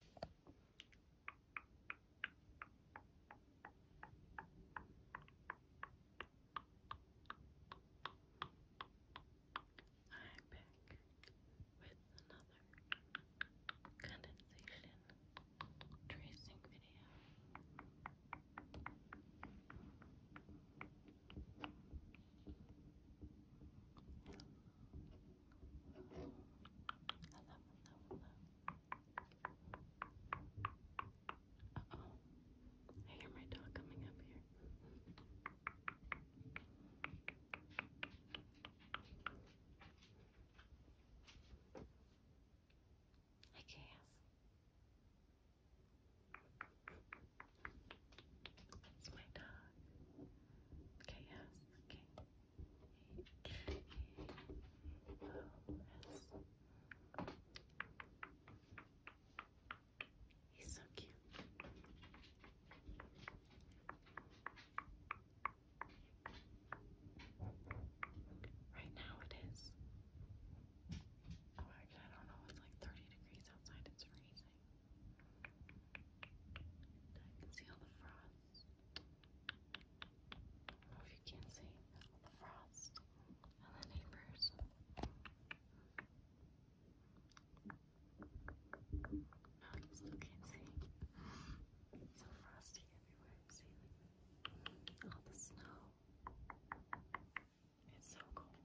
I'm back with another condensation tracing video hello, hello. Uh oh, I hear my dog coming up here. Hi, Chaos. It's my dog. Chaos. Okay. He's so cute. Right now it is. Oh, actually, I don't know. It's like 30 degrees outside. It's freezing. I can see all the frost. if you can see all the frost and the neighbors. No, still can't see. It's so frosty everywhere. See, like all the snow. It's so cold.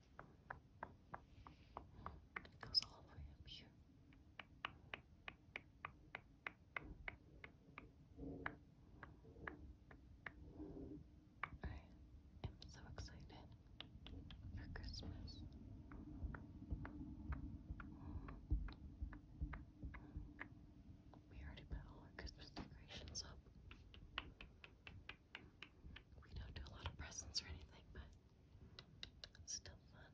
It goes all the way up here. I am so excited for Christmas. We already put all our Christmas decorations up. We don't do a lot of presents or anything, but still fun.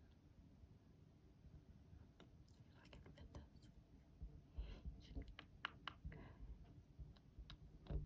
If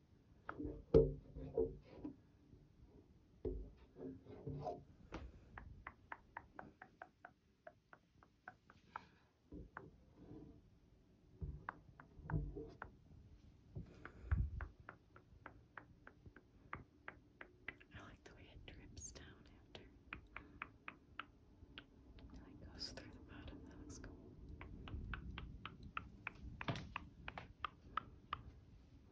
I like the way it drips down after. It like goes through the bottom. That looks cool. I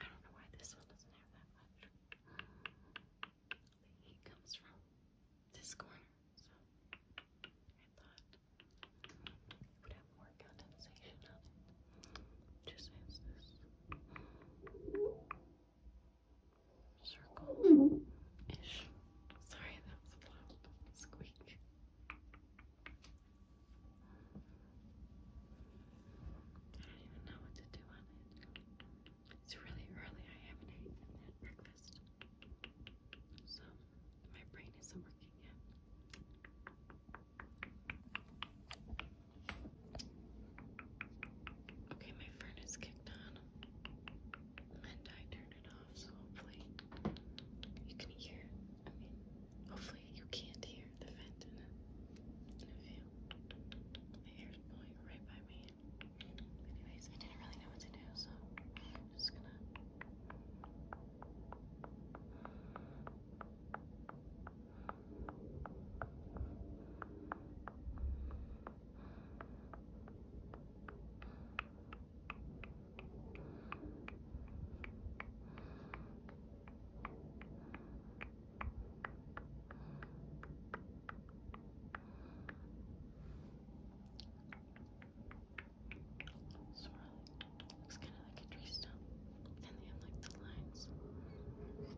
don't know why this one doesn't have that much the comes from this corner, so I thought it would have more condensation on it. Just as this circle Sorry, that was a loud squeak. I don't even know what to do it's really early. I haven't eaten had breakfast. So my brain isn't working yet. Okay, my furnace kicked on. And I turned it off, so hopefully you can hear. I mean, hopefully you can't hear the vent in it. I the air's blowing right by me. Anyways, I didn't really know what to do, so I'm just gonna. Sort of looks kind of like a tree stump, and they have like the lines. It's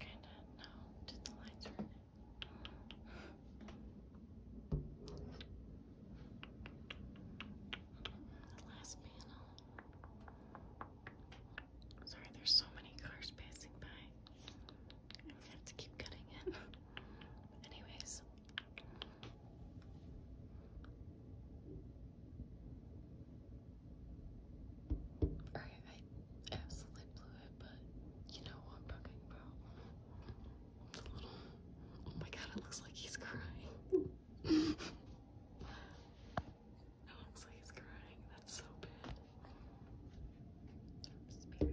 kind no, did the lights run last panel. Sorry, there's so many cars passing by. I'm gonna have to keep cutting it. Anyways, I, I absolutely blew it, but you know what I'm talking about. Oh my god, it looks like he's crying. It looks like he's crying. That's so bad. I'm spirited. Away.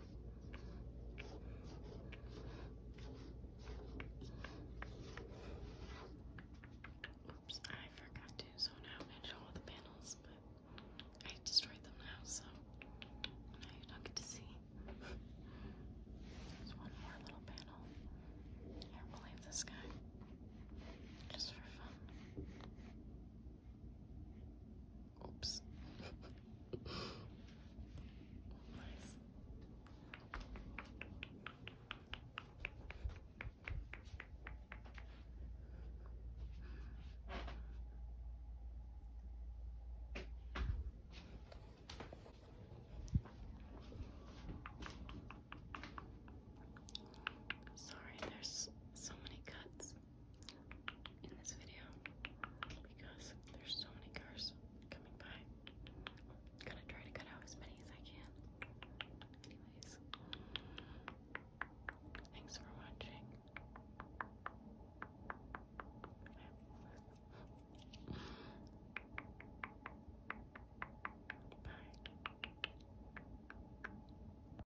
Oops, I forgot to zone out and show all the panels, but I destroyed them now, so now you don't get to see. There's one more little panel. Here, we'll leave this guy just for fun. Oops. Sorry, there's so many cuts in this video because there's so many cars coming by. gonna try to cut out as many as I can. Anyways, thanks for watching. Bye.